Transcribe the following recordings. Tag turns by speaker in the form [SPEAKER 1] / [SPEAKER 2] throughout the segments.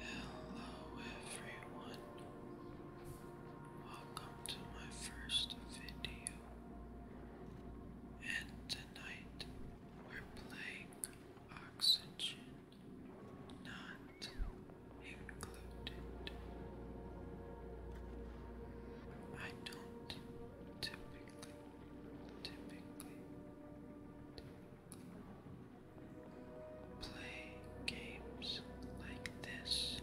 [SPEAKER 1] Hello everyone. Welcome to my first video. And tonight we're playing Oxygen Not Included. I don't typically, typically, play games like this,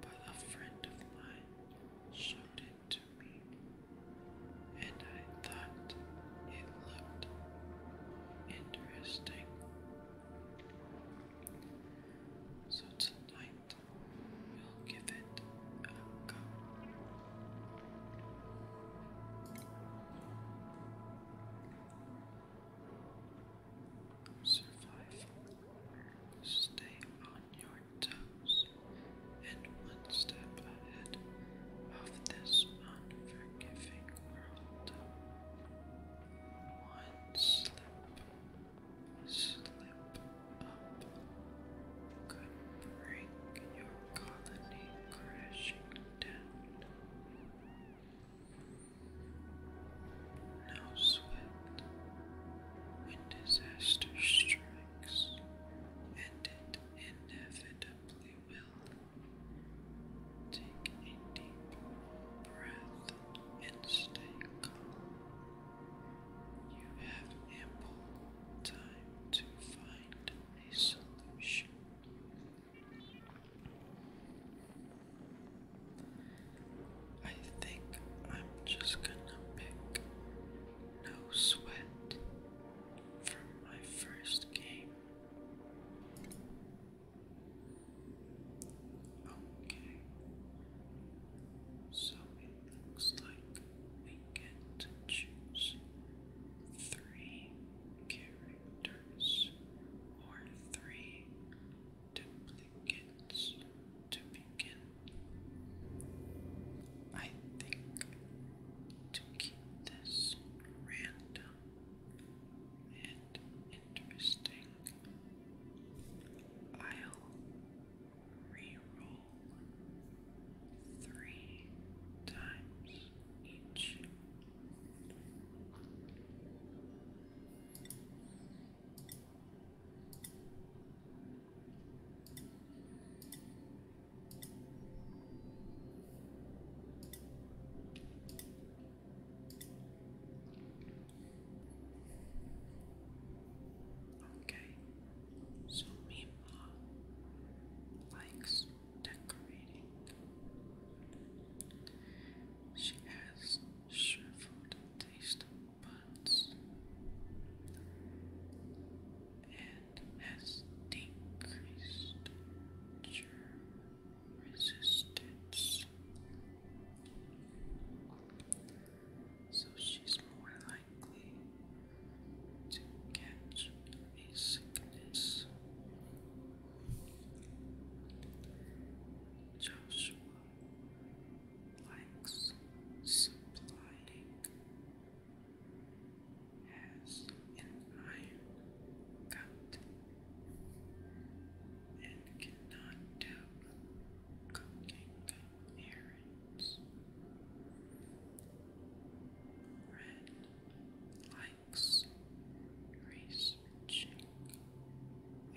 [SPEAKER 1] but a friend of mine showed it to me, and I thought it looked interesting. So tonight we'll give it a go. Survive. Stay on your toes and one step ahead of this unforgiving world. One slip, slip up could break your colony crashing down. No sweat when disaster strikes, and it inevitably will. Take a deep breath and stay calm. You have ample time to find a solution. I think I'm just gonna pick no sweat from my first game. Okay, so it looks like get choose three characters or three duplicates to begin. I think to keep this random and interesting, I'll re three times each. Okay, so me likes decorating. She has shriveled taste buds and has decreased germ resistance. So she's more like likely to catch a sickness. Joshua likes supplying, has an iron gut, and cannot do cooking errands. Red likes researching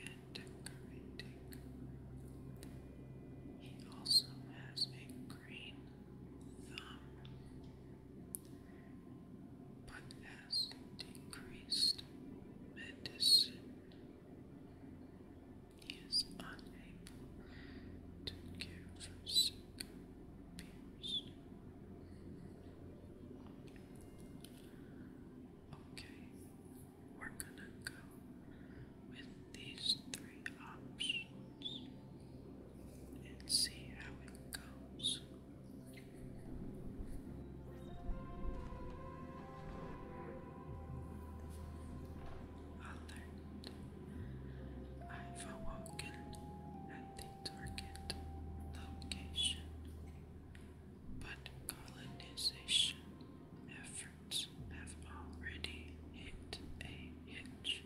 [SPEAKER 1] and decorating. He also has a green thumb, but has decreased medicine. He is unable to care for sick Okay, we're gonna go with these three options and see how it goes. Alert. I've awoken at the target location, but colonization efforts have already hit a hitch.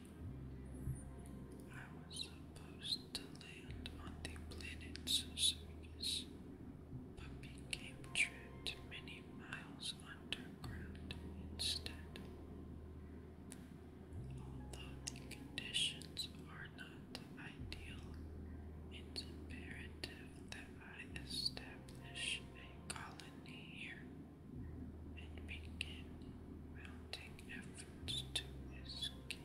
[SPEAKER 1] I was supposed to land on the planet Circus, but became trapped many miles underground instead. Although the conditions are not ideal, it's imperative that I establish a colony here and begin mounting efforts to escape.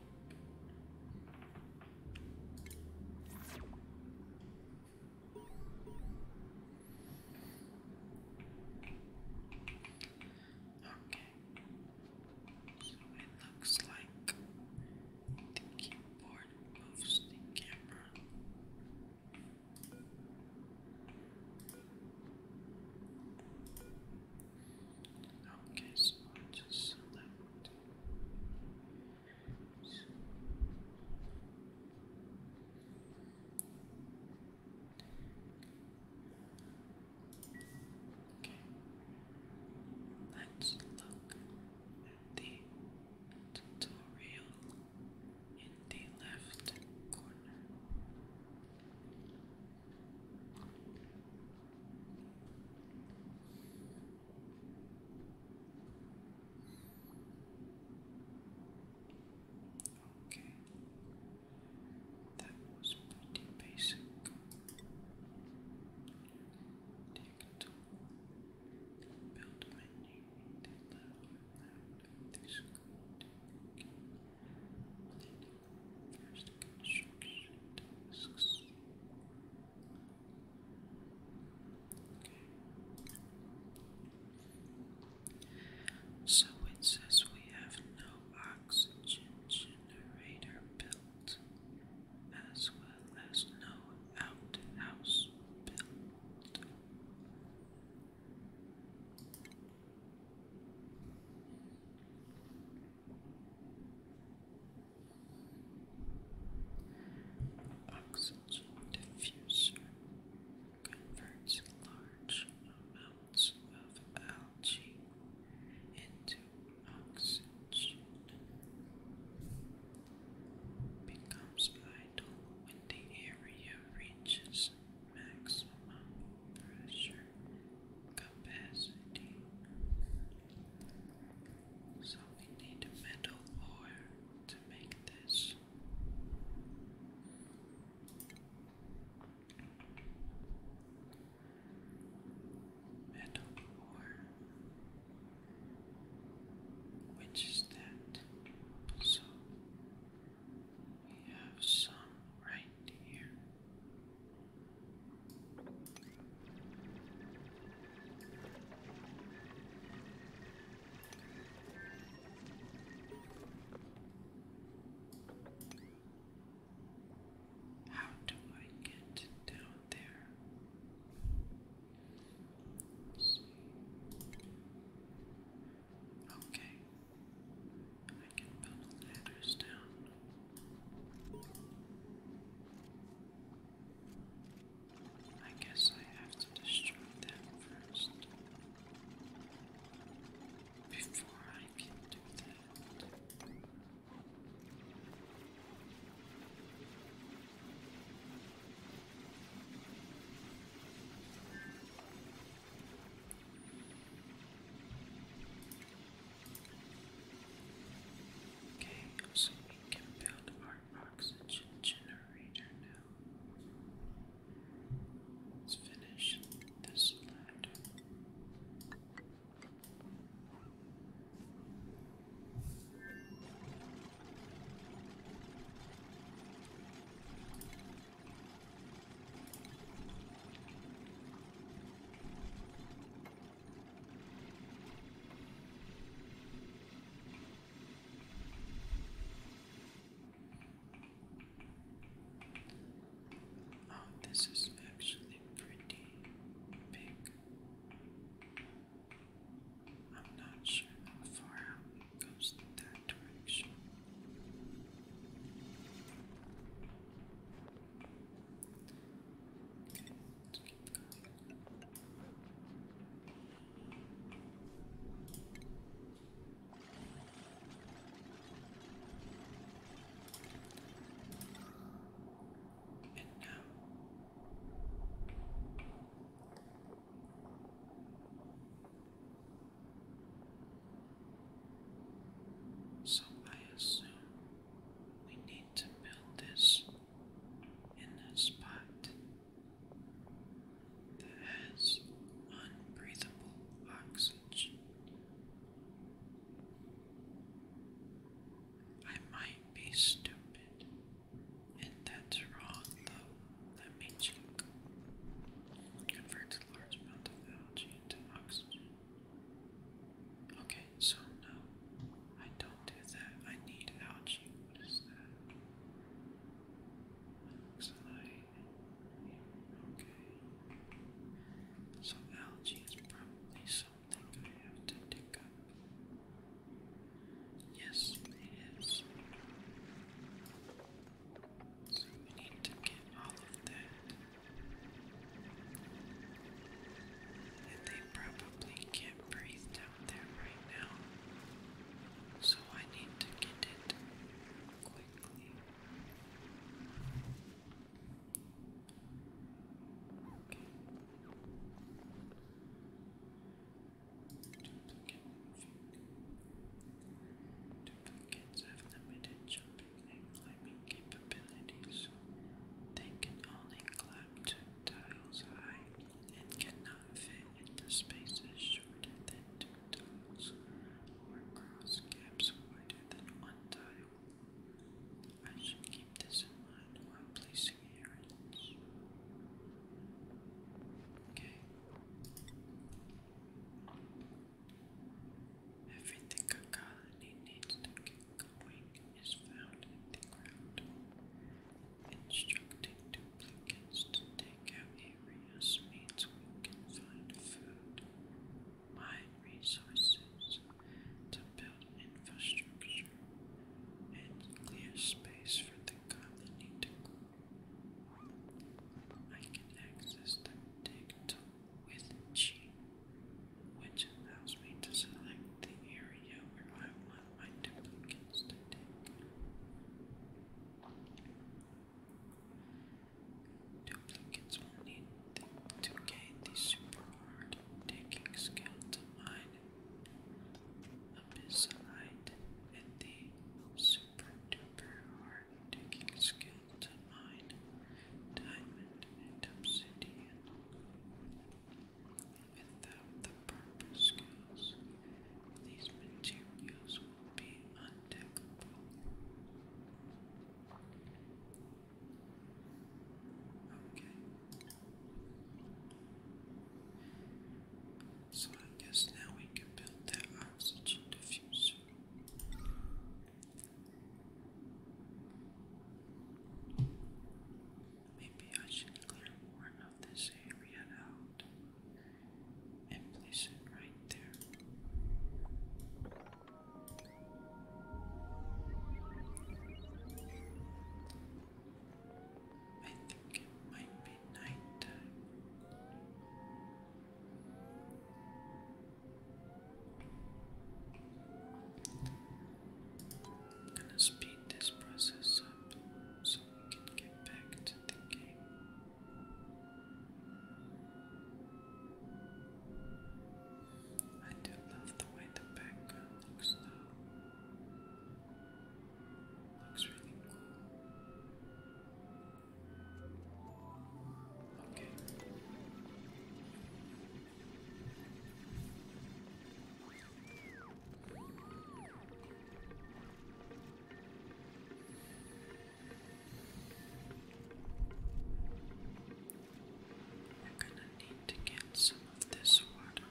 [SPEAKER 1] Okay. So it looks like the keyboard moves the camera. Okay, so i just select. Okay. Let's look at the tutorial in the left corner. Okay. That was pretty basic. Take a tool, build menu, take that out, this good. Okay. Then first construction tasks. Okay. So it says we have no oxygen generator built, as well as no out house built. Oxygen diffuser converts large amounts of algae into oxygen, becomes vital when the area reaches maximum pressure capacity. So we need a metal ore to make this. Metalcore. Which is that? So we have some right here. How do I get down there? Okay. I can build ladders down. I guess I have to destroy them first before I Okay, so we can build our oxygen generator now. Let's finish this ladder. Oh, this is actually pretty big. I'm not sure how far out it goes in that direction so I assume we need to build this in this spot that has unbreathable oxygen. I might be stupid, and that's wrong though. Let me check. Convert large amount of algae into oxygen. Okay, so no, I don't do that. I need algae. What is that? Looks like so algae is probably something I have to dig up. Yes, it is. So we need to get all of that. And they probably can't breathe down there right now. So I need to get it quick. Okay. Duplicate have limited jumping and climbing capabilities. They can only climb two tiles high and cannot fit into spaces shorter than two tunnels were cross gaps wider than one tile. I should keep this in mind while placing errands. Okay. Everything a colony needs to get going is found in the ground. Instructing duplicates to take out a areas means we can find food, mine resources, to build infrastructure, and clear space for the colony to grow. I can access the dig with G, which allows me to select the area where I want my duplicates to dig. Duplicates will need to gain the super hard taking skill to mine abyssalite and the super duper hard taking skill to mine diamond and obsidian. Without the proper skills, these materials Okay. So I guess now we can build that oxygen diffuser. Maybe I should clear more of this area out and place it right there. I think it might be night gonna speed this process up so we can get back to the game. I do love the way the background looks now. Looks really cool. Okay. I'm gonna need to get some of this water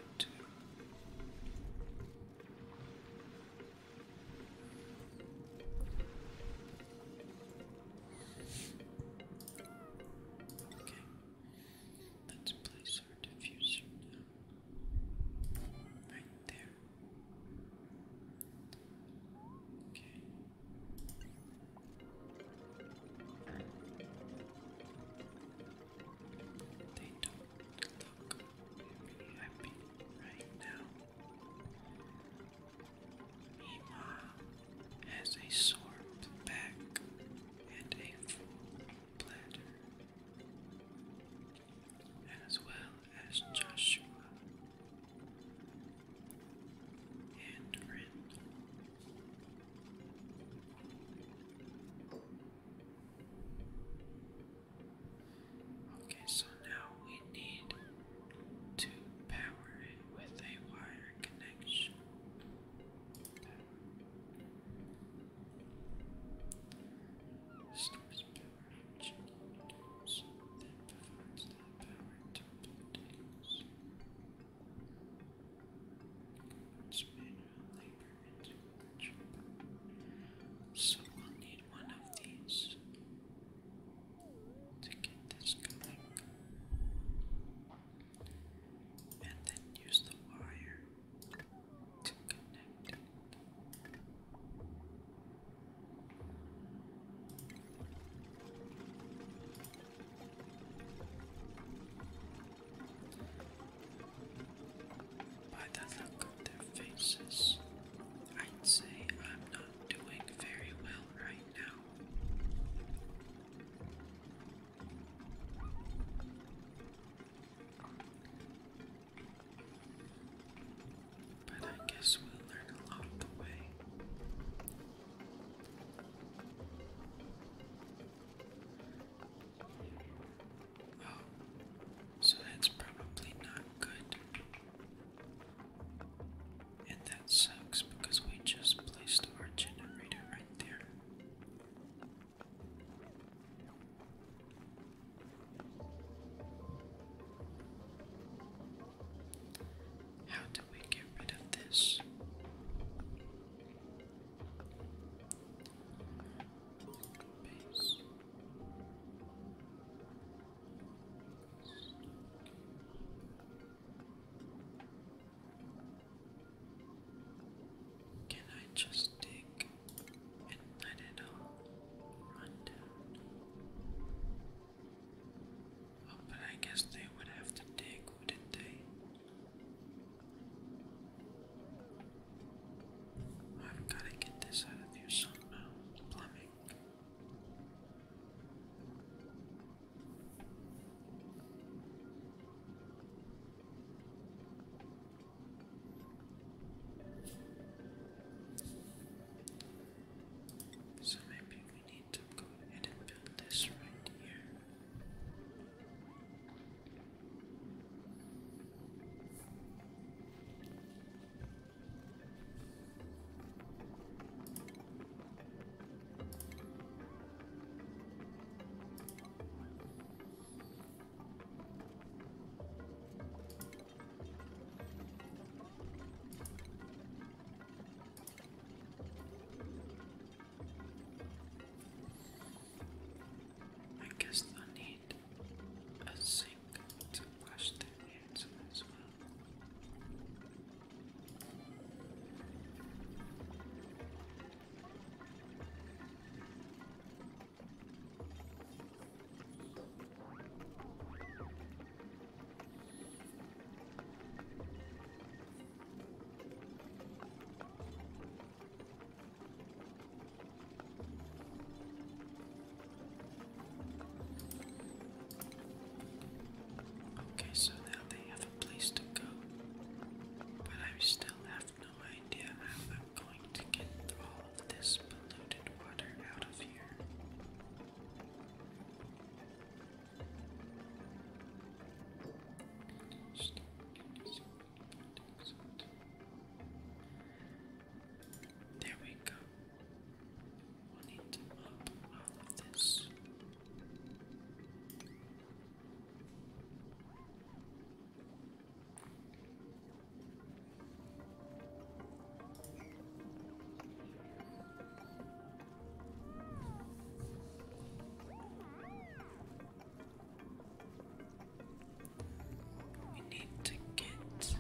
[SPEAKER 1] Okay, let's place our diffuser now. Right there. They don't look happy right now. Ima has a sore back and a full bladder as well as Joshua and Rin. Okay, so now we need to power it with a wire connection. Stars Jacobs that provides the power to So we'll need one of these to get this going. And then use the wire to connect by the look of their faces, I'd say I'm not doing very well right now. But I guess we'll learn along the way. Oh, so that's probably not good. And that sucks because we just placed our generator right there. How do we get rid of this? Can I just dig and let it all but I guess they would have to dig, wouldn't they? I've got to get this out of here somehow. Plumbing. So maybe we need to go ahead and build this right here. I guess I need a sink to wash the hands as well. Okay, so now they have a place to go, but I still have no idea how I'm going to get through all this polluted water out of here. There we go. we need to mop all of this. We need to get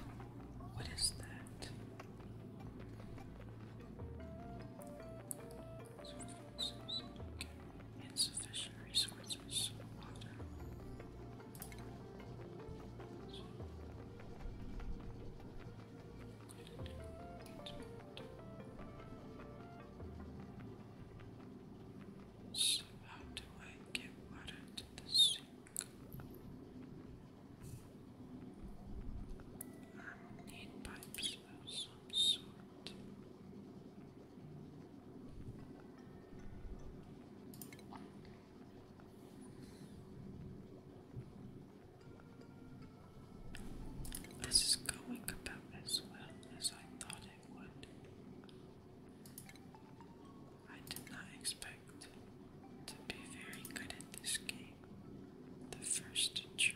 [SPEAKER 1] what is that? Insufficient resources, so, how do I get water to the sink? I need pipes of some sort. This is going about as well as I thought it would. I did not expect to be very good at this game the first try.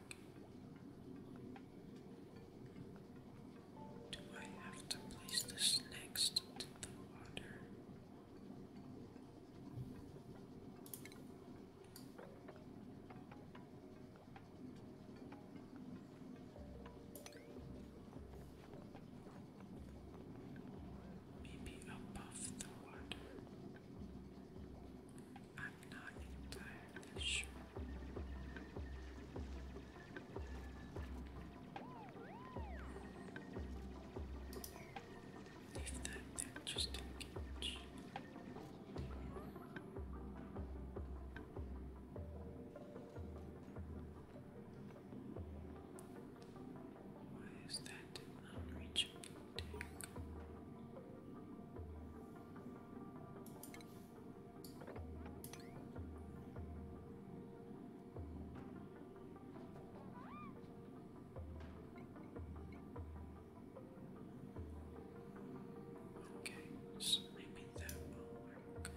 [SPEAKER 1] Do I have to place this next to the water? Maybe above the water. I'm not entirely sure. Leave that just in case. Why is that unreachable? Take? Okay, so maybe that will work.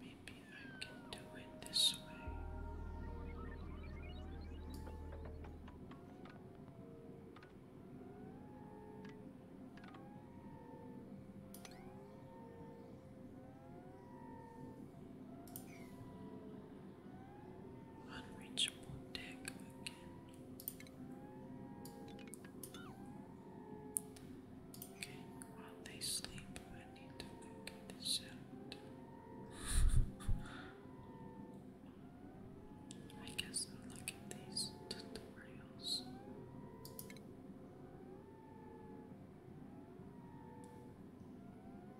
[SPEAKER 1] Maybe I can do it this way. Unreachable deck again. Okay, while they sleep, I need to get this out. I guess I'll look at these tutorials.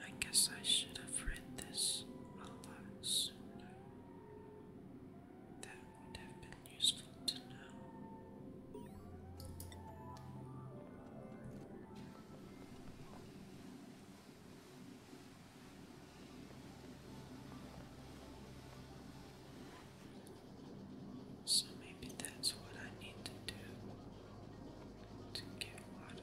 [SPEAKER 1] I guess I should have read this a lot sooner. That would have been useful to know. So maybe that's what I need to do to get water.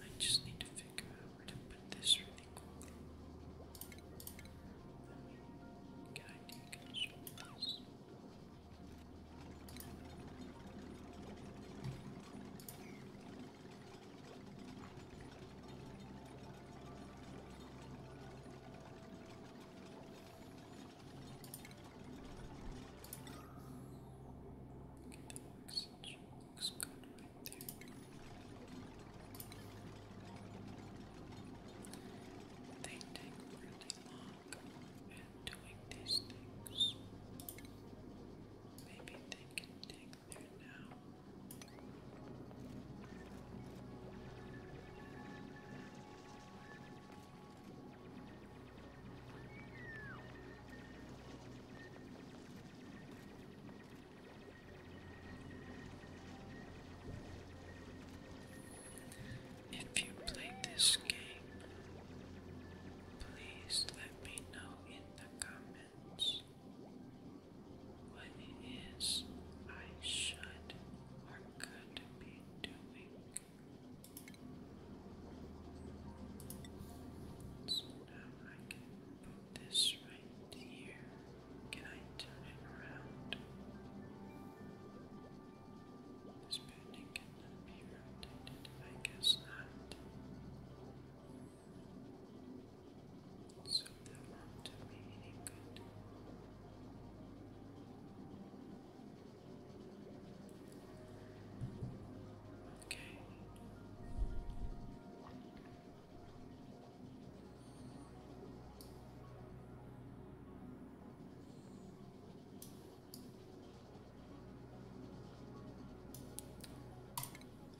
[SPEAKER 1] I just need to figure out where to put this really quickly. Can I deconstruct this? Okay, looks good right there. They take really long at doing these things. Maybe they can take there now. If you played this game, please let me know in the comments. What is I should or could be doing. So now I can put this right here. Can I turn it around? This building cannot be rotated. I guess not. So that won't do me any good. Okay.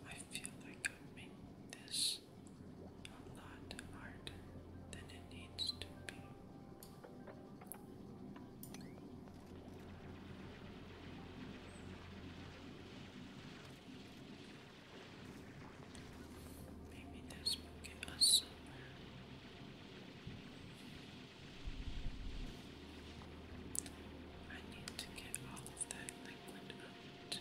[SPEAKER 1] I feel like I'm this a lot harder than it needs to be. Maybe this will get us somewhere. I need to get all of that liquid up too.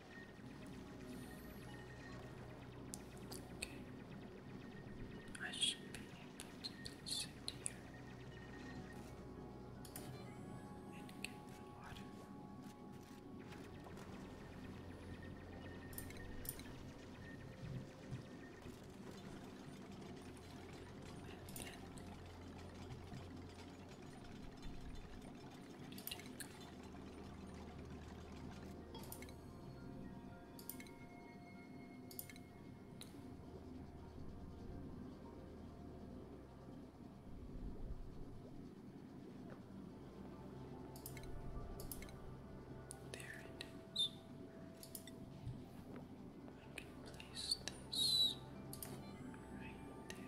[SPEAKER 1] Okay. I should be able to place it here. And get the water. And then there it is. I can place this right there.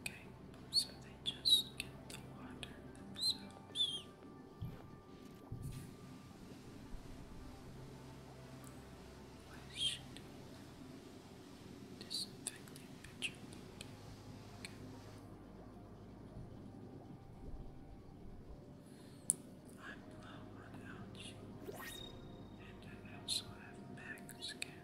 [SPEAKER 1] Okay, so they just get the water themselves. Question Disinfecting pitcher. Okay. I'm low on algae, and I also have max skin.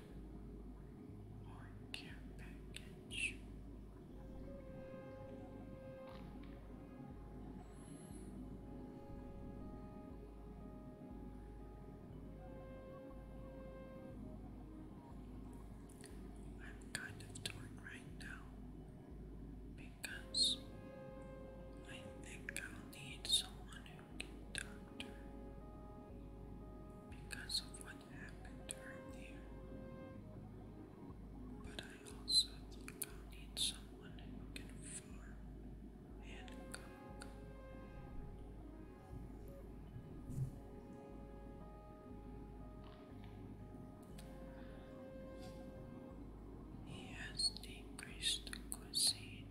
[SPEAKER 1] or care package. I'm kind of torn right now because I think I'll need someone who because of what happened to her But I also think i need someone who can farm and cook. He has decreased the cuisine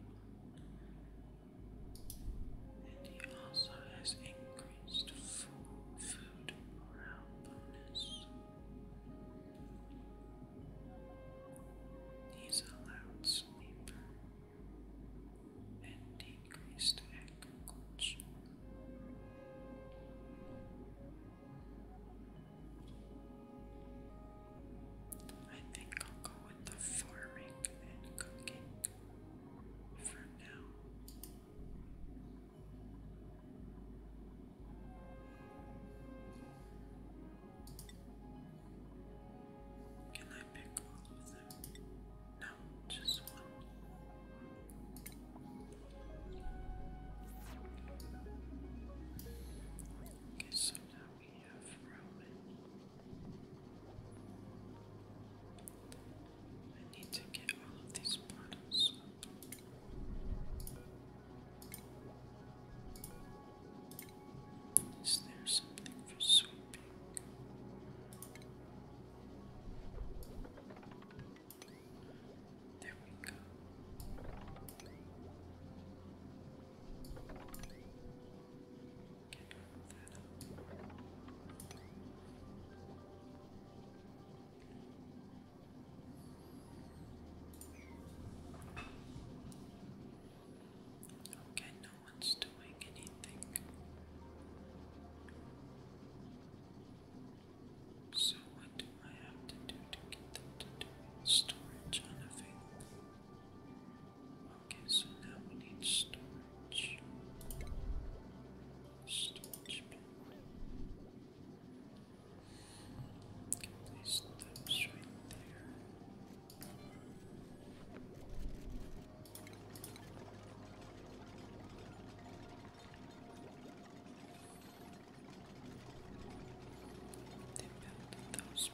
[SPEAKER 1] and he also has increased food morale bonus. He's allowed sleep and decreased agriculture. I think I'll go with the farming and cooking for now. Can I pick all of them? No, just one. Okay, now we have Roman. I need to get all of these bottles Is there something for sweeping? There we go. Okay, no one's doing anything. So, what do I have to do to get them to do storage unavailable? Okay, so now we need storage. Storage bin. Can place right there. They those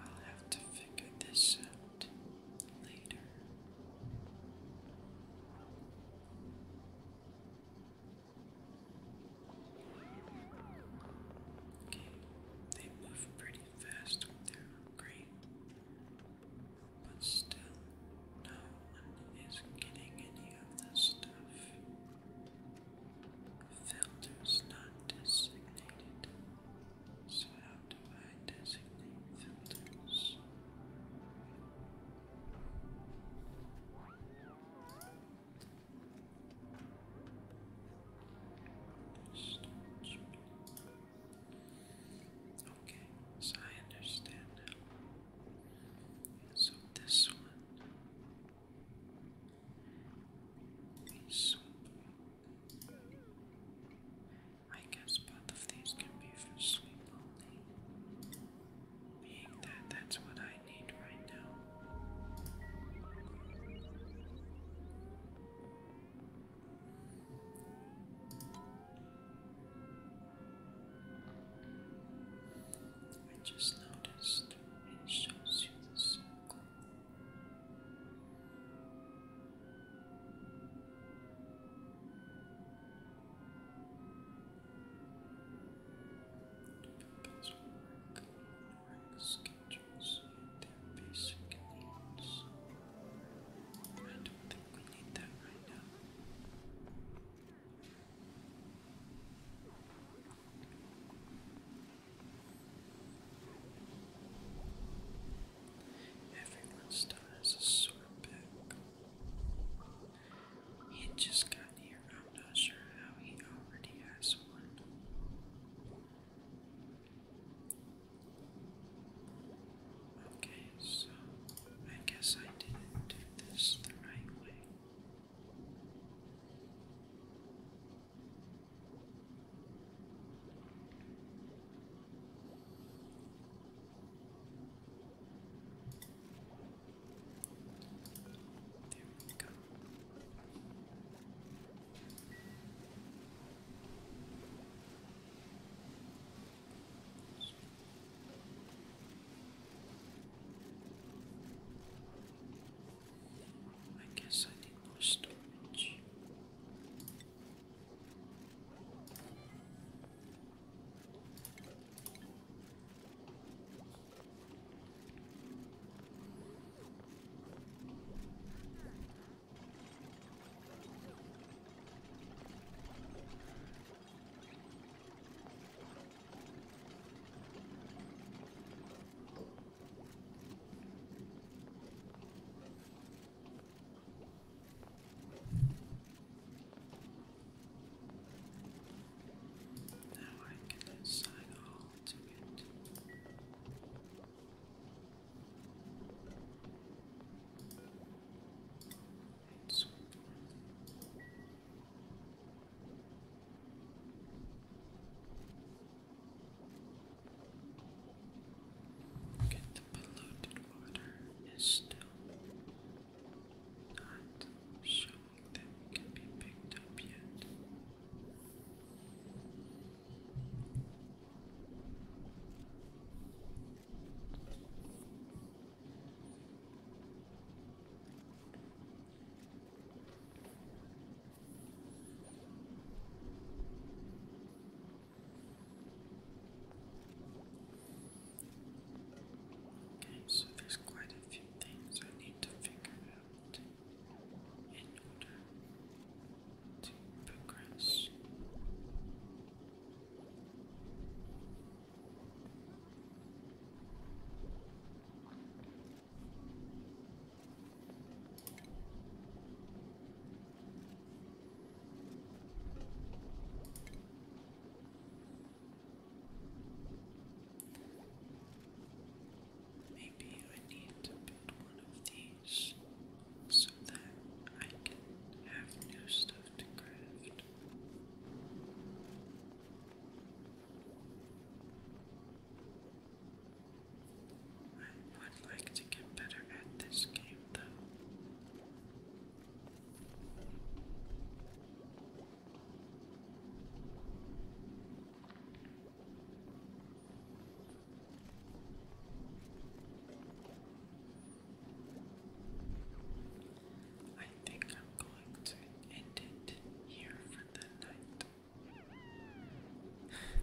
[SPEAKER 1] I'll have to figure this out later. they move pretty fast with their upgrade. But still, no one is getting any of this stuff. Filters not designated. So, how do I designate filters? Storage. Okay, so I understand now. So this one is I guess both of these can be for sweep Being that that's what I need right now. I just noticed it shows you the circle. People's work, work schedules, their basic needs. I don't think we need that right now. Everyone He had just gotten here. I'm not sure how he already has one. Okay, so I guess I didn't do this the right way. There we go. I guess I need more storage. Now I can assign all to it the polluted water is still not showing that it can be picked up yet. Okay, so there's quite a few things I need to figure out in order progress. Maybe I need to build one of these so that I can have new stuff to craft. I would like to get better at this game though. I think I'm going to end it here for the night.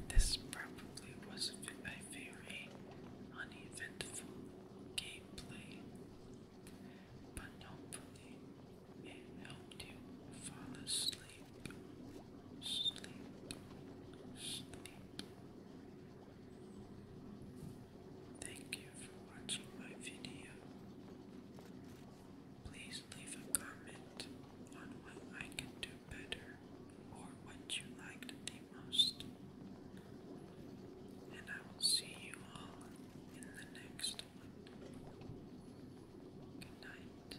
[SPEAKER 1] This probably was a very uneventful gameplay, but hopefully it helped you fall asleep, sleep, sleep, Thank you for watching my video. Please leave a comment on what I can do better or what you liked the most. And I will see you all in the next one. Good night.